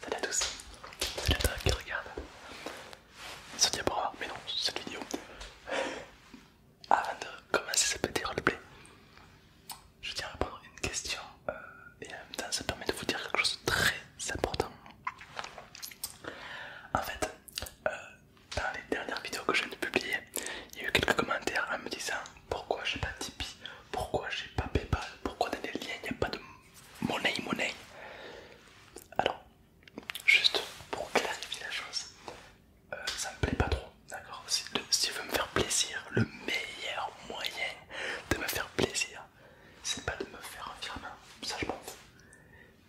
Salut à tous, salut à toi qui regarde ce diaporama, mais non, cette vidéo. Avant de commencer ce petit roleplay, je tiens à répondre à une question euh, et en même temps ça permet de vous dire quelque chose de très important. En fait, euh, dans les dernières vidéos que je viens de publier, il y a eu quelques commentaires en me disant pourquoi j'ai pas Tipeee pourquoi j'ai pas Paypal Pourquoi dans les liens il n'y a pas de monnaie monnaie Alors, juste pour clarifier la chose, euh, ça me plaît pas trop, d'accord si, tu veux me faire plaisir, le meilleur moyen de me faire plaisir, c'est pas de me faire un firmware, ça je m'en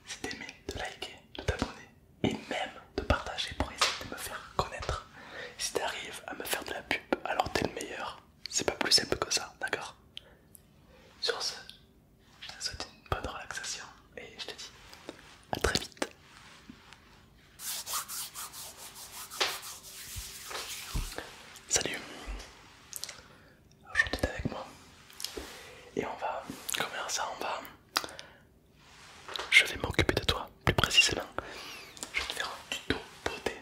C'est d'aimer, de liker, de t'abonner et même de partager pour essayer de me faire connaître si t'arrives à me faire de la pub, alors t'es le meilleur. C'est pas plus simple que ça, d'accord Sur ce, je te souhaite une bonne relaxation et je te dis à très vite. Salut Aujourd'hui t'es avec moi et on va, comment ça on va Je vais m'occuper de toi, plus précisément je vais te faire un tuto beauté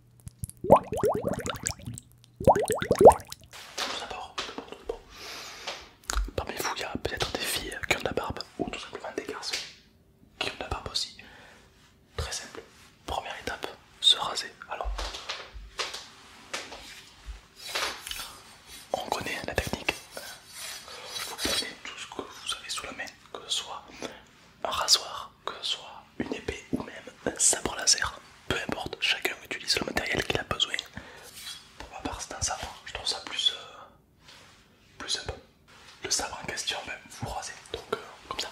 Tout d'abord, parmi vous, il y a peut-être des filles euh, qui ont de la barbe ou tout simplement des garçons qui ont de la barbe aussi. Très simple. Première étape, se raser. Alors, on connaît la technique. Vous prenez tout ce que vous avez sous la main, que ce soit un rasoir, que ce soit une épée ou même un sabre laser, peu importe, chacun utilise le matériel qu'il a besoin. Pour ma part, c'est un sabre, je trouve ça plus, euh, simple plus Le sabre en question, va vous rasez, donc euh, comme ça.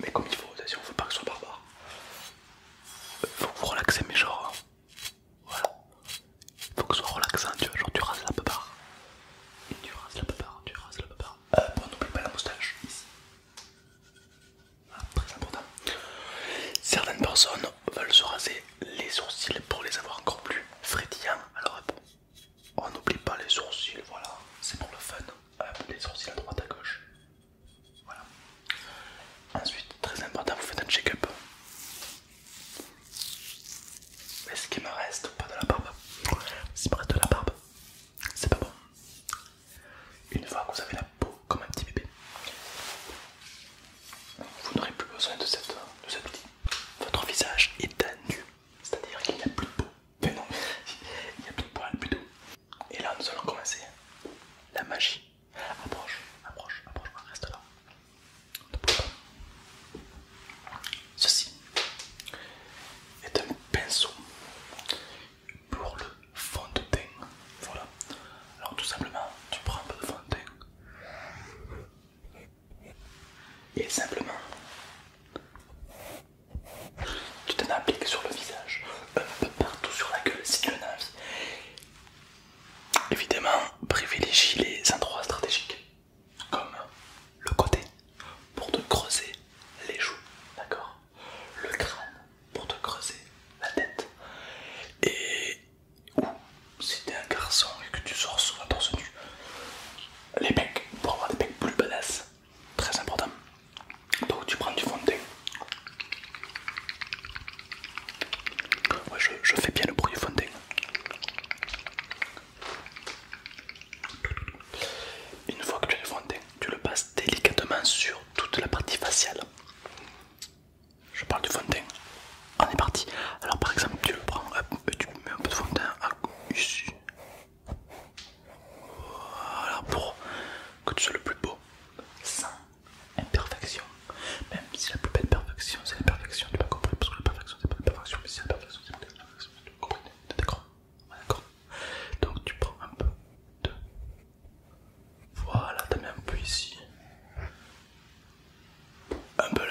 Mais comme il faut, on ne veut pas que ce soit barbare, faut que vous relaxez, mais genre, hein. voilà, il faut que ce soit relaxant, tu vois, genre tu rases la pépare. Et tu rases la pépare, tu rases la pépare. Euh, bon, n'oublie pas la moustache, ici très important. Certaines personnes veulent se raser les sourcils pour les avoir encore plus frétillants. Alors on n'oublie pas les sourcils, voilà, c'est pour le fun. Euh, les sourcils à droite à gauche. Voilà. Ensuite, très important, vous faites un check-up. Est-ce qu'il me reste pas de la barbe c'est me de la barbe, c'est pas bon. Une fois que vous avez la peau comme un petit bébé, vous n'aurez plus besoin de, cette, de cet outil. Votre visage est à nu, c'est-à-dire qu'il n'y a plus de peau. Mais non, il n'y a plus de poils, plus Et là, nous allons commencer la magie. Approche, approche, approche, reste là. Ceci est un pinceau pour le fond de teint. Voilà. Alors tout simplement, tu prends un peu de fond de teint. Et simplement, tu t'en appliques sur le visage, un peu partout sur la gueule si tu en as envie. Évidemment, privilégie les endroits stratégiques, comme le côté, pour te creuser les joues, d'accord le crâne pour te creuser la tête. Et ou si t'es un garçon et que tu sors souvent torse nu, les becs pour avoir des becs plus badass, très important. Donc tu prends du fond de teint. je, je fais bien le bruit du fond de teint. Une fois que tu as le fond de teint, tu le passes délicatement sur toute la partie faciale. Je parle du fond de teint. On est parti. Alors par exemple, tu le prends, et tu mets un peu de fond de teint ici. Voilà pour que tu sois le plus beau, sans imperfection. Même si la plus belle perfection, c'est la perfection. tu vas compris, parce que la perfection, c'est pas perfection, mais si la perfection, c'est pas l'imperfection, tu m'as compris, D'accord Donc tu prends un peu de... Voilà, tu mets un peu ici. Un peu là.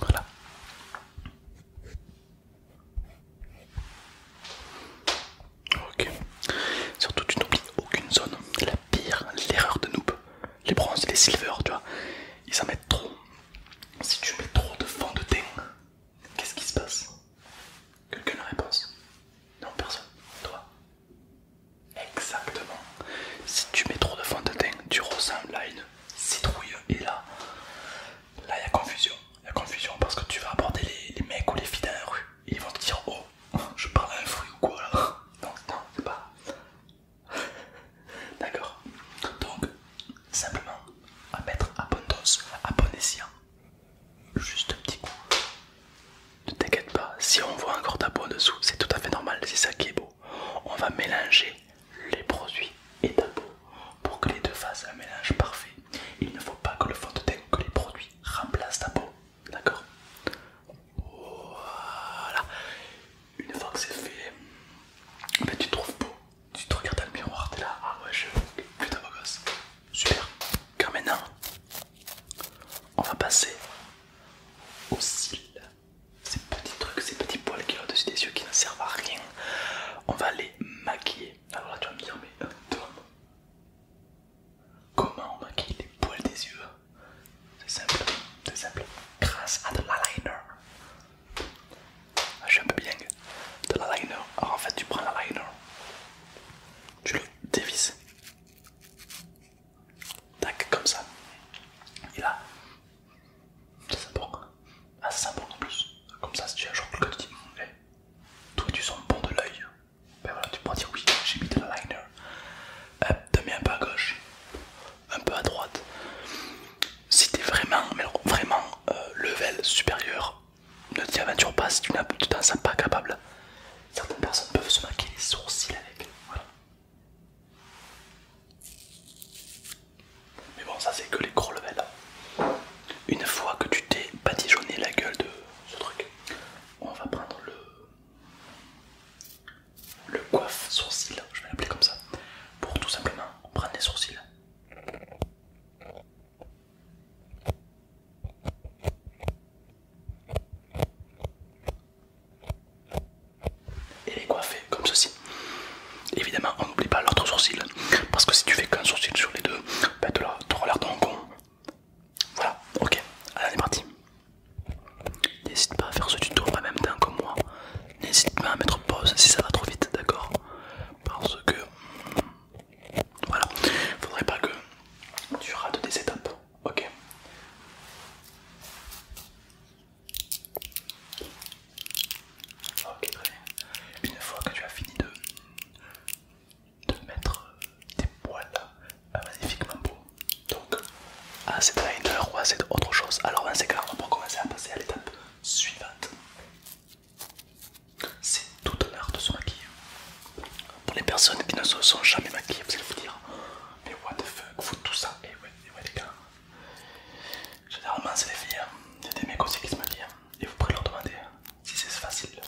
Voilà. Ok. Surtout tu n'oublies aucune zone. La pire, l'erreur de noob. Les bronzes, les silvers, tu vois. Ils en mettent trop. Si tu mets trop de fond de teint, qu'est-ce qui se passe Quelqu'un ne réponse Non, personne. Toi Exactement. Si tu mets trop de fond de teint, tu ressembles à une citrouille. Et là, là il y a confusion. Il y a confusion parce que tu vas aborder les, mecs ou les filles dans la rue et ils vont te dire Oh, je parle à un fruit ou quoi là Donc, non, c'est pas. D'accord. Donc, simplement à mettre à bonne Juste un petit coup. Ne t'inquiète pas, si on voit encore ta peau en dessous, c'est tout à fait normal, c'est ça qui est beau. On va mélanger les produits et ta peau pour que les deux fassent un mélange parfait. Il ne faut pas que le fond de teint que les produits remplacent ta peau. D'accord Voilà. Une fois que c'est fait, tu te trouves beau. Tu te regardes dans le miroir, t'es là. Ah ouais, je suis plutôt beau gosse. Super. Car maintenant, on va passer aux cils ces petits trucs, ces petits poils qu'il y a au-dessus des yeux qui ne servent à rien. On va les maquiller. Alors là, tu vas me dire, mais euh, Tom, comment on maquille les poils des yeux C'est simple, c'est simple. Grâce à de liner. Ah, je suis un peu bien de liner. Alors en fait, tu prends liner, tu le dévises. Tac, comme ça. Et là, ça bon, Ah, ça bon en plus. Comme ça, si tu as un jour gars te dit, toi tu sens bon de l'œil, ben voilà, tu pourras dire oui, j'ai mis de la liner. Hop, euh, te mets un peu à gauche, un peu à droite. Si t'es vraiment, mais vraiment euh, level supérieur, ne t'y aventure pas si tu n'en sens pas capable. Certaines personnes peuvent se maquiller les sourcils avec. Voilà. Mais bon, ça c'est que les gros levels. Hein. Une fois que tu t'es patigeonné la gueule de ce truc, on va prendre le le coiffe sourcil, je vais l'appeler comme ça, pour tout simplement prendre les sourcils et les coiffer comme ceci. Évidemment, on n'oublie pas l'autre sourcil parce que si tu fais qu'un sourcil sur les deux, ben tu auras l'air con. Voilà, ok, allez, on est parti. N'hésite pas à faire ce tuto en même temps que moi. N'hésite pas à mettre pause si ça va trop vite, d'accord Parce que. Voilà, faudrait pas que tu rates des étapes. Ok. Ok, Une fois que tu as fini de, mettre tes poils euh, magnifiquement beaux, donc à cette liner ou assez autre chose, alors on clair, on pour commencer à passer à l'étape suivante. C'est tout un de se maquiller. Pour les personnes qui ne se sont jamais maquillées, vous allez vous dire mais what the fuck, faut tout ça. Et ouais, et ouais les gars, généralement c'est les filles, c'est hein. des mecs aussi qui se dit hein. et vous pourrez leur demander hein, si c'est facile.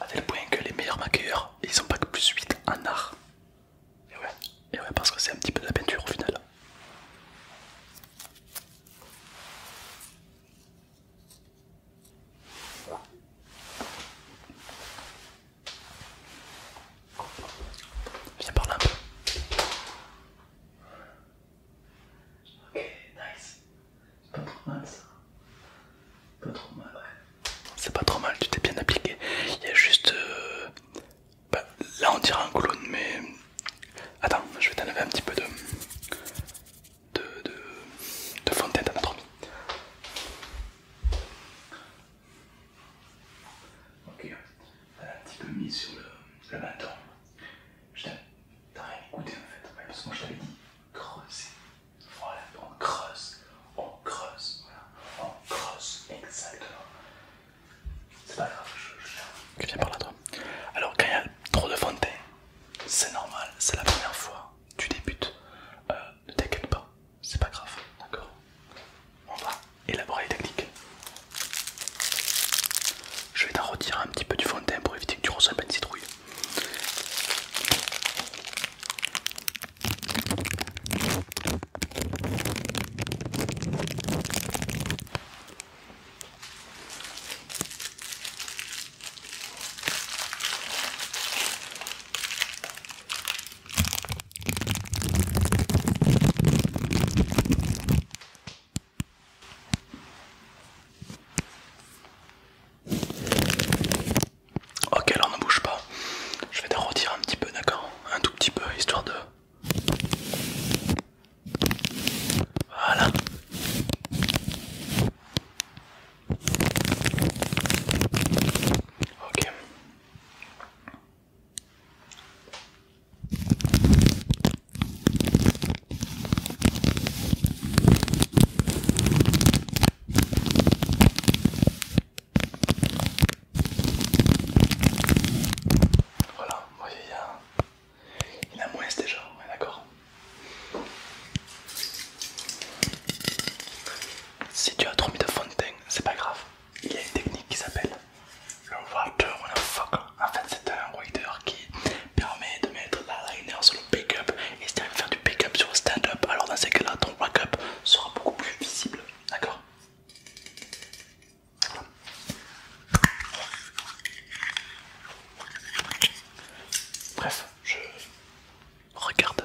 À tel point que les meilleurs maquilleurs, ils sont pas que plus 8 en art. Et ouais, et ouais parce que c'est un petit peu de la peinture au final. Viens par là un peu. Ok, nice. C'est pas trop mal ça. Pas trop mal, ouais. C'est pas trop mal, tu t'es bien appliqué. Il y a juste. Euh, bah, là on dirait un clown, mais. Attends, je vais t'enlever un petit peu de. de. de, de fontaine d'anatomie. Ok, euh, un petit peu mis sur le, le matin. Je t'as rien écouté en fait, parce que moi je t'avais dit creuser. Voilà, on creuse, on creuse, on creuse, exactement. C'est pas grave, je, viens par là toi. Alors quand il y a trop de fontaines, c'est normal, c'est la première fois, tu débutes. Euh, ne t'inquiète pas, c'est pas grave, d'accord On va élaborer les techniques. Je vais t'en retirer un petit peu du fond de teint pour éviter que tu ressembles à une citrouille. Ok, alors ne bouge pas. Je vais te redire un petit peu, d'accord Un tout petit peu, histoire de... Voilà. Ok. Voilà, vous voyez, il a, moins déjà, d'accord si tu as trop mis de fond c'est pas grave. Il y a une technique qui s'appelle le water fuck. En fait, c'est un water qui permet de mettre la liner sur le pick-up. Et si tu faire du pick-up sur le stand-up, alors dans ces cas-là, ton wake-up sera beaucoup plus visible. D'accord Bref, je Regarde.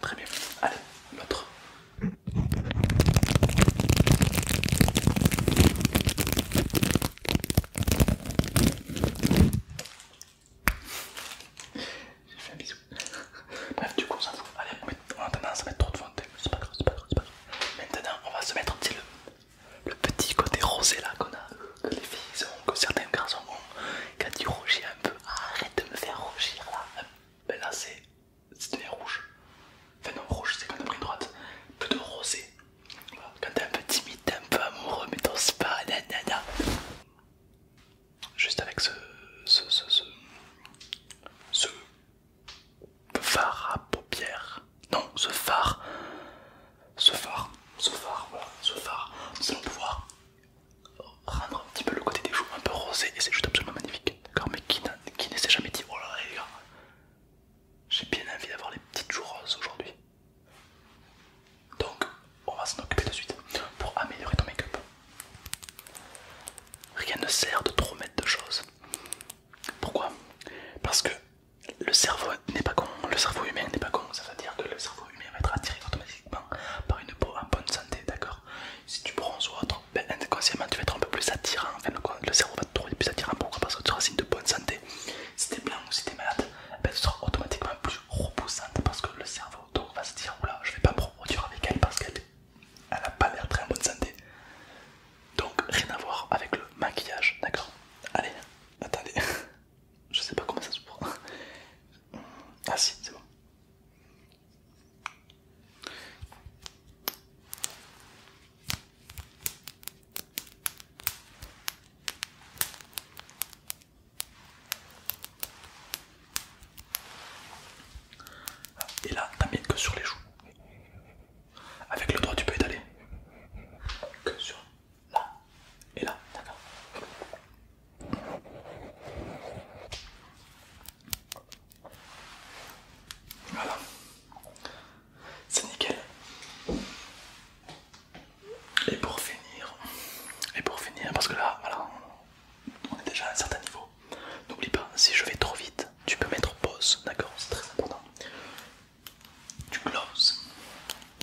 Très bien. Allez, l'autre. J'ai fait un bisou. Bref, du coup, on s'en Allez, on a tendance à mettre trop de fond C'est pas grave, c'est pas grave, c'est pas grave. Maintenant, on va se mettre le, petit côté rosé là qu'on a. Que les filles ont, que certains garçons ont. a du rougir un peu. Arrête de me faire rougir là. Ben là c'est c'est devenu rouge. Enfin non rouge c'est quand t'as pris une droite. Plutôt rosé. Quand t'es un peu timide, t'es un peu amoureux, mais t'os pas, nanana. Juste avec ce... ce... ce... ce... ce phare à paupières. Non, ce phare. Ce phare. Ce phare, voilà. Ce phare. Nous allons pouvoir rendre un petit peu le côté des joues un peu rosé et c'est juste absolument magnifique. D'accord Mais qui, ne s'est jamais dit oh là là les gars, j'ai bien envie d'avoir les petites joues roses aujourd'hui. Donc on va s'en occuper de suite pour améliorer ton make-up. Rien ne sert de trop mettre de choses. Pourquoi Parce que le cerveau n'est pas con, le cerveau humain n'est pas con, ça veut dire que le cerveau humain va être attiré automatiquement par une peau en bonne santé, d'accord Si tu bronzes ou autre, ben, inconsciemment tu vas être un peu plus attirant, enfin, le, cerveau va te trouver plus attirant, pourquoi Parce que tu seras signe de bonne santé. Si t'es blanc ou si es malade, ben, tu seras automatiquement plus repoussante parce que le cerveau donc, va se dire, oula, je vais pas me reproduire avec elle parce qu'elle elle a pas l'air très en bonne santé. Donc rien à voir avec le maquillage, d'accord Allez, attendez. Je sais pas comment ça se prend. Ah si, c'est bon. Et là, t'amènes que sur les joues. Avec le doigt, tu peux étaler. Que sur là et là, d'accord Voilà, c'est nickel. Et pour finir, et pour finir, parce que là, voilà, on est déjà à un certain niveau. N'oublie pas, si je vais trop vite, tu peux mettre pause, d'accord C'est très important. Tu closes,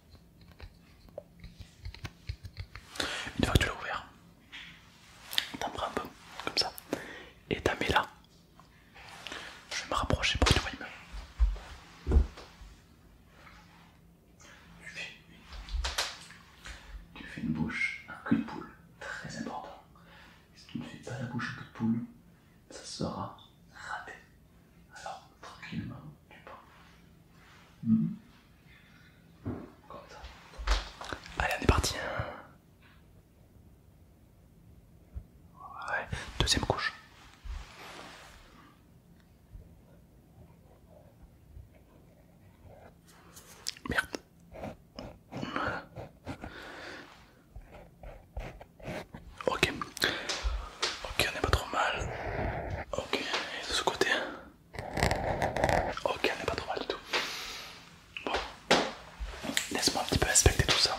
Une fois que tu l'as ouvert, t'en un peu, comme ça, et t'en mets là. Je vais me rapprocher pour que tu Tu fais, une bouche à cul de poule, très important. Si tu ne fais pas la bouche à de poule, ça sera raté. Alors, tranquillement Comme ça. Allez, on est parti. Hein. Ouais. Deuxième couche. Merde. Ok. Ok, on est pas trop mal. Ok, et de ce côté. Hein. Ok, on n'est pas trop mal du tout. Bon, laisse-moi un petit peu inspecter tout ça.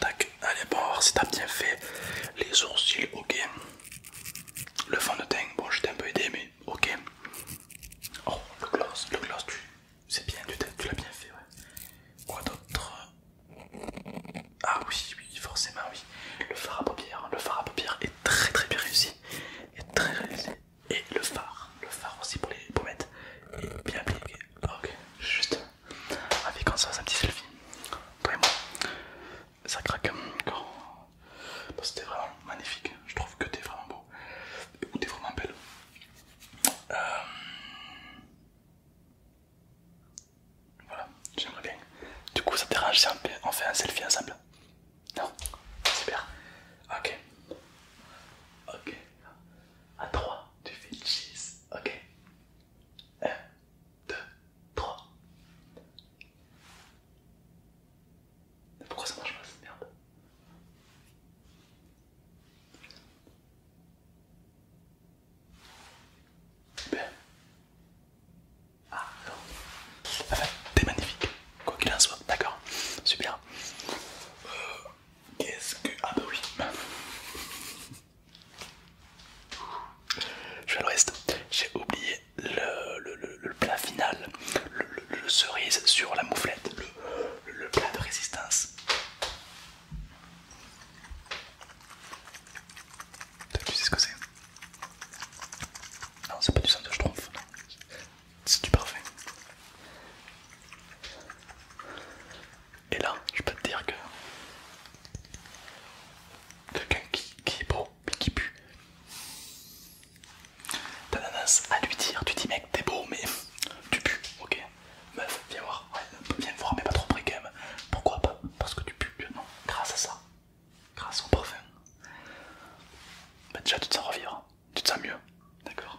Tac, allez, bon, si t'as bien fait les sourcils, ok. Le fond de teint, bon je t'ai un peu aidé mais ok. Oh le gloss, le gloss tu c'est bien, tu, l'as bien fait ouais. Quoi d'autre Ah oui, oui, forcément oui. Le fard à paupières, le fard à paupières est très très bien réussi. très Et le fard, le fard aussi pour les pommettes est bien appliqué. Ok, juste avec comme ça, fasse un petit selfie. Toi et moi ça craque quand. C'était vraiment magnifique, je trouve que t'es vraiment beau ou t'es vraiment belle. Euh, voilà, j'aimerais bien. Du coup, ça te dérange si on fait un selfie ensemble Non Super. Ok. Ok. À 3, tu fais cheese. Ok. 2, 3. Pourquoi ça marche pas cette merde Ah non. Enfin, ah, bah, t'es magnifique, quoi qu'il en soit, d'accord. Super. Euh, qu'est-ce que... Ah bah oui. Je vais le reste, j'ai oublié le, plat final, le, cerise sur la mouflette, le, plat de résistance. Tu sais ce que c'est Non, c'est pas du de trompe, c'est du parfait. Et là, je peux te dire que Quelqu'un qui, est beau mais qui pue. T'as tendance à lui dire, tu dis mec t'es beau mais tu pues, ok Meuf, viens voir, viens voir mais pas trop près quand même. Pourquoi pas Parce que tu pues, non Grâce à ça, grâce au parfum. Bah, déjà tu te sens revivre, tu te sens mieux, d'accord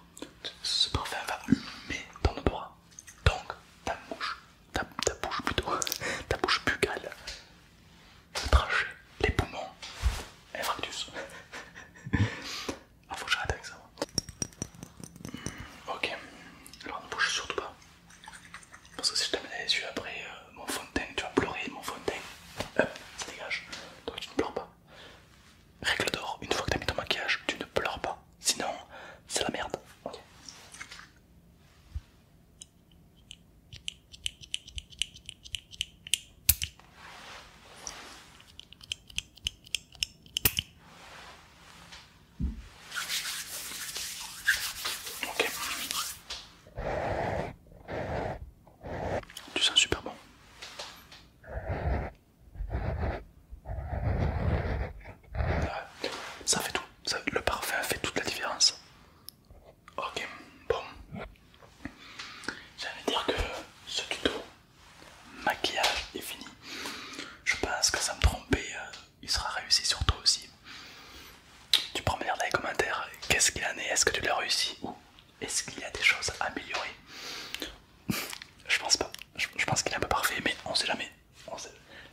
Ce parfum va humer ton bras, donc ta mouche ta, bouche plutôt, ta bouche buccale, le les poumons, infractus. Ah, faut que j'arrête avec ça. Ok, alors ne bouge surtout pas. Parce que si je te mets les yeux après euh, mon fond de teint, tu vas pleurer mon fond de teint. ça dégage. Donc tu ne pleures pas. Règle d'or, une fois que tu as mis ton maquillage, tu ne pleures pas. Sinon, c'est la merde. Ok. Tu sens super bon. Ça fait tout le parfum fait toute la différence. Ok, bon. J'allais dire que ce tuto maquillage est fini. Je pense que ça me tromper, euh, il sera réussi sur toi aussi. Tu prends me dire dans les commentaires qu'est-ce qu'il en est, est-ce que tu l'as réussi ou est-ce qu'il y a des choses à améliorer. je pense pas, je, je pense qu'il est un peu parfait, mais on sait jamais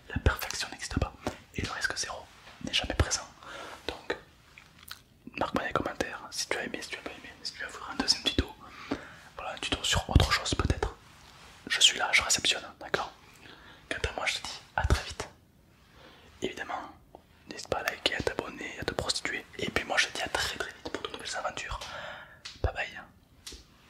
la perfection n'existe pas et le risque zéro n'est jamais présent. Donc, marque-moi les commentaires si tu as aimé, si tu n'as pas aimé, si tu veux voir un deuxième tuto, voilà un tuto sur autre chose peut-être. Je suis là, je réceptionne, d'accord Quant à moi, je te dis à très vite. Évidemment, n'hésite pas à liker, à t'abonner, à te prostituer. Et puis moi, je te dis à très très vite pour de nouvelles aventures. Bye bye.